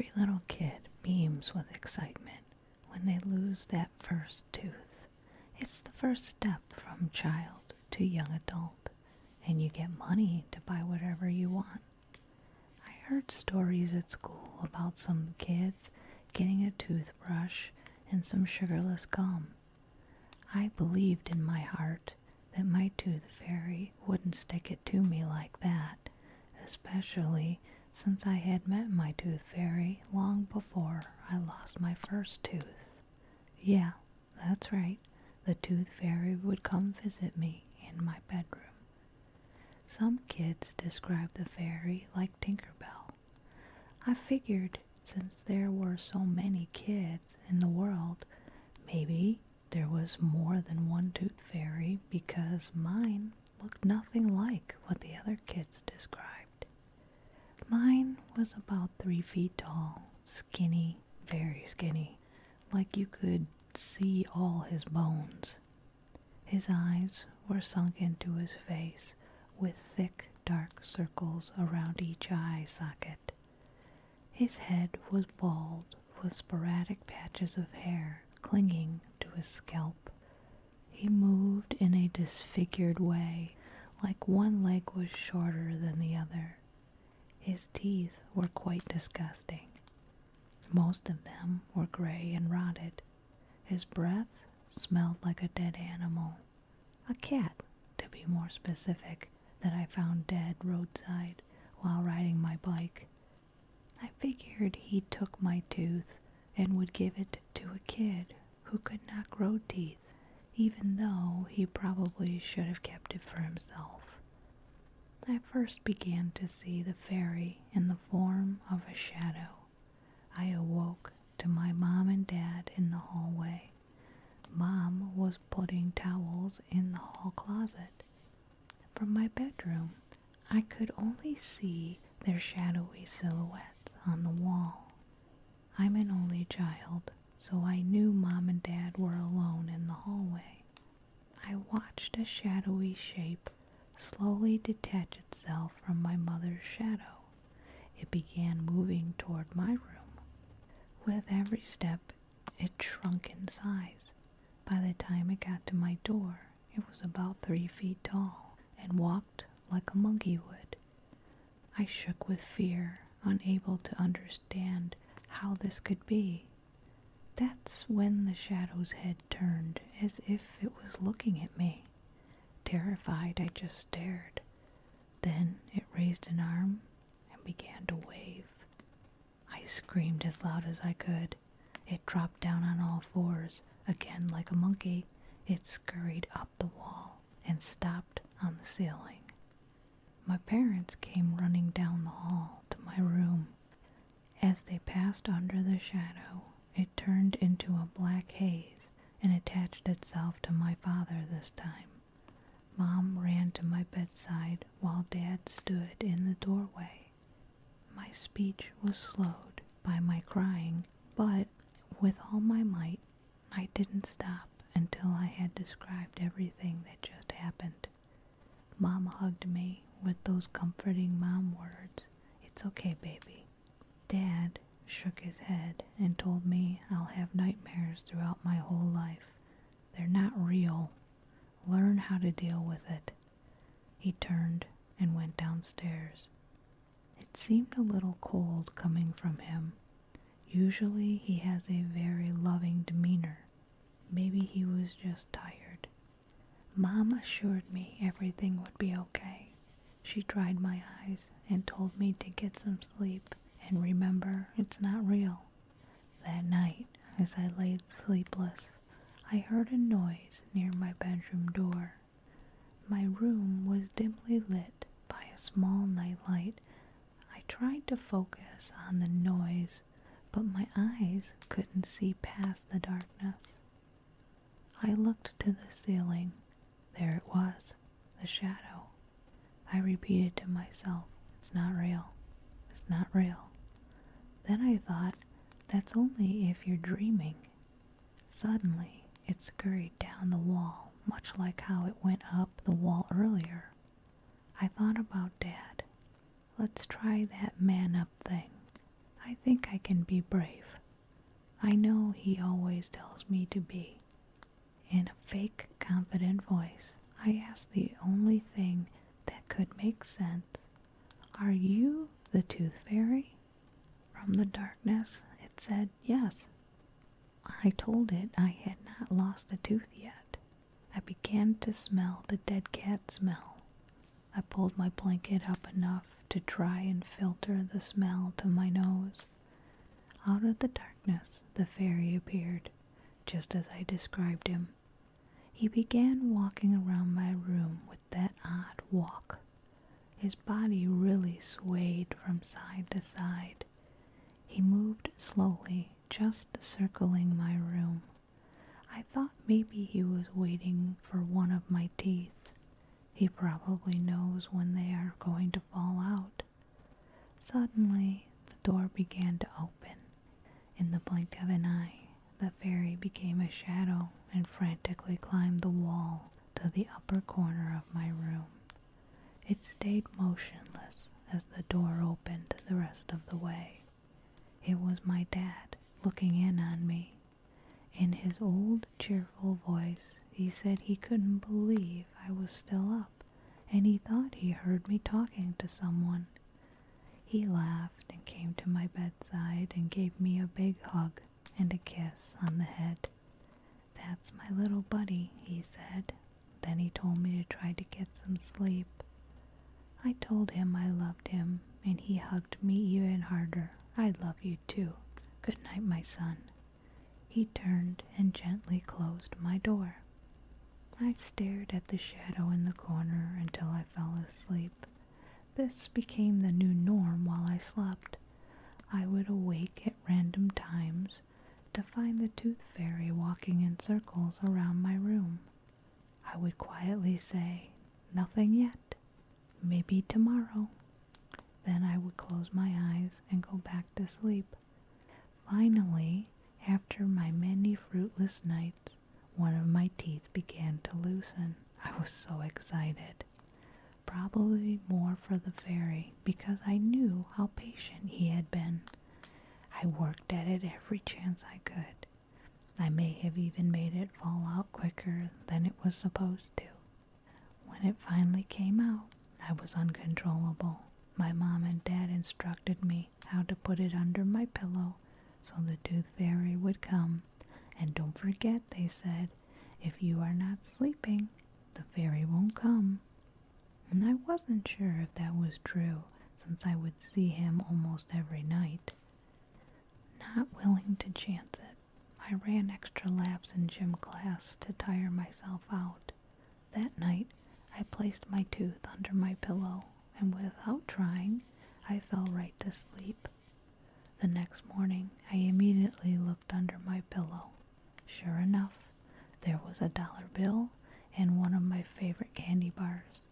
Every little kid beams with excitement when they lose that first tooth. It's the first step from child to young adult, and you get money to buy whatever you want. I heard stories at school about some kids getting a toothbrush and some sugarless gum. I believed in my heart that my tooth fairy wouldn't stick it to me like that, especially since I had met my tooth fairy long before I lost my first tooth. Yeah, that's right, the tooth fairy would come visit me in my bedroom. Some kids describe the fairy like Tinker Bell. I figured since there were so many kids in the world, maybe there was more than one tooth fairy because mine looked nothing like what the other kids described. Mine was about three feet tall, skinny, very skinny, like you could see all his bones. His eyes were sunk into his face with thick, dark circles around each eye socket. His head was bald with sporadic patches of hair clinging to his scalp. He moved in a disfigured way like one leg was shorter than the other. His teeth were quite disgusting. Most of them were gray and rotted. His breath smelled like a dead animal. A cat, to be more specific, that I found dead roadside while riding my bike. I figured he took my tooth and would give it to a kid who could not grow teeth even though he probably should have kept it for himself. I first began to see the fairy in the form of a shadow. I awoke to my mom and dad in the hallway. Mom was putting towels in the hall closet. From my bedroom, I could only see their shadowy silhouettes on the wall. I'm an only child, so I knew Mom and Dad were alone in the hallway. I watched a shadowy shape slowly detach itself from my mother's shadow. It began moving toward my room. With every step, it shrunk in size. By the time it got to my door, it was about three feet tall and walked like a monkey would. I shook with fear, unable to understand how this could be. That's when the shadow's head turned, as if it was looking at me. Terrified, I just stared. Then it raised an arm and began to wave. I screamed as loud as I could. It dropped down on all fours, again like a monkey. It scurried up the wall and stopped on the ceiling. My parents came running down the hall to my room. As they passed under the shadow, it turned into a black haze and attached itself to my father this time. Mom ran to my bedside while Dad stood in the doorway. My speech was slowed by my crying, but with all my might, I didn't stop until I had described everything that just happened. Mom hugged me with those comforting mom words. It's okay, baby. Dad shook his head and told me I'll have nightmares throughout my whole life. They're not real. Learn how to deal with it. He turned and went downstairs. It seemed a little cold coming from him. Usually he has a very loving demeanor. Maybe he was just tired. Mom assured me everything would be okay. She dried my eyes and told me to get some sleep and remember it's not real. That night, as I lay sleepless, I heard a noise near my bedroom door. My room was dimly lit by a small nightlight. I tried to focus on the noise, but my eyes couldn't see past the darkness. I looked to the ceiling. There it was, the shadow. I repeated to myself, it's not real. It's not real. Then I thought, that's only if you're dreaming. Suddenly it scurried down the wall, much like how it went up the wall earlier. I thought about Dad. Let's try that man up thing. I think I can be brave. I know he always tells me to be. In a fake, confident voice, I asked the only thing that could make sense Are you the Tooth Fairy? From the darkness it said yes. I told it I had not lost a tooth yet. I began to smell the dead cat smell. I pulled my blanket up enough to try and filter the smell to my nose. Out of the darkness the fairy appeared, just as I described him. He began walking around my room with that odd walk his body really swayed from side to side. He moved slowly, just circling my room. I thought maybe he was waiting for one of my teeth. He probably knows when they are going to fall out. Suddenly, the door began to open. In the blink of an eye, the fairy became a shadow and frantically climbed the wall to the upper corner of my room. It stayed motionless as the door opened the rest of the way. It was my dad looking in on me. In his old cheerful voice, he said he couldn't believe I was still up and he thought he heard me talking to someone. He laughed and came to my bedside and gave me a big hug and a kiss on the head. That's my little buddy, he said. Then he told me to try to get some sleep. I told him I loved him, and he hugged me even harder. I love you too. Good night, my son. He turned and gently closed my door. I stared at the shadow in the corner until I fell asleep. This became the new norm while I slept. I would awake at random times to find the tooth fairy walking in circles around my room. I would quietly say, Nothing yet. Maybe tomorrow. Then I would close my eyes and go back to sleep. Finally, after my many fruitless nights, one of my teeth began to loosen. I was so excited. Probably more for the fairy because I knew how patient he had been. I worked at it every chance I could. I may have even made it fall out quicker than it was supposed to. When it finally came out, I was uncontrollable. My mom and dad instructed me how to put it under my pillow so the tooth fairy would come and don't forget, they said, if you are not sleeping, the fairy won't come. And I wasn't sure if that was true, since I would see him almost every night. Not willing to chance it, I ran extra laps in gym class to tire myself out. That night, I placed my tooth under my pillow, and without trying, I fell right to sleep. The next morning I immediately looked under my pillow. Sure enough, there was a dollar bill and one of my favorite candy bars.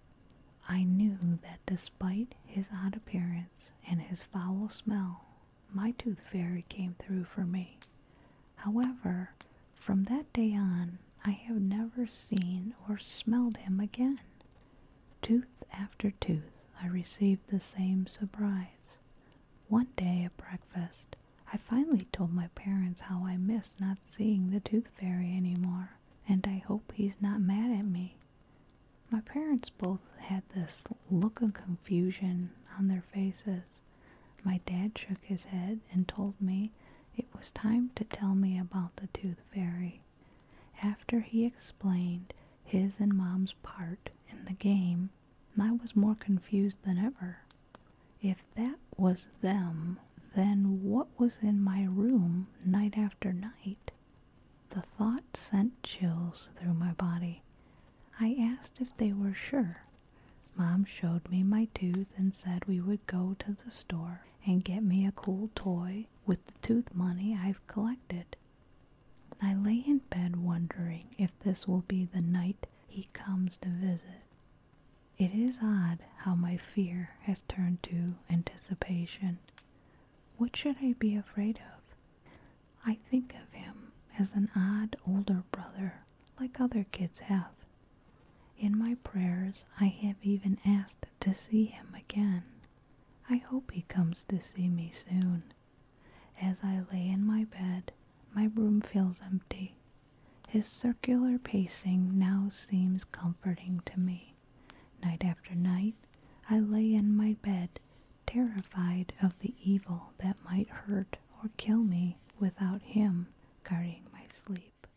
I knew that despite his odd appearance and his foul smell, my tooth fairy came through for me. However, from that day on, I have never seen or smelled him again. Tooth after tooth, I received the same surprise. One day at breakfast, I finally told my parents how I miss not seeing the tooth fairy anymore, and I hope he's not mad at me. My parents both had this look of confusion on their faces. My dad shook his head and told me it was time to tell me about the tooth fairy. After he explained his and Mom's part in the game, I was more confused than ever. If that was them, then what was in my room night after night? The thought sent chills through my body. I asked if they were sure. Mom showed me my tooth and said we would go to the store and get me a cool toy with the tooth money I've collected. I lay in bed wondering if this will be the night he comes to visit. It is odd how my fear has turned to anticipation. What should I be afraid of? I think of him as an odd older brother, like other kids have. In my prayers, I have even asked to see him again. I hope he comes to see me soon. As I lay in my bed, my room feels empty. His circular pacing now seems comforting to me. Night after night, I lay in my bed, terrified of the evil that might hurt or kill me without him guarding my sleep.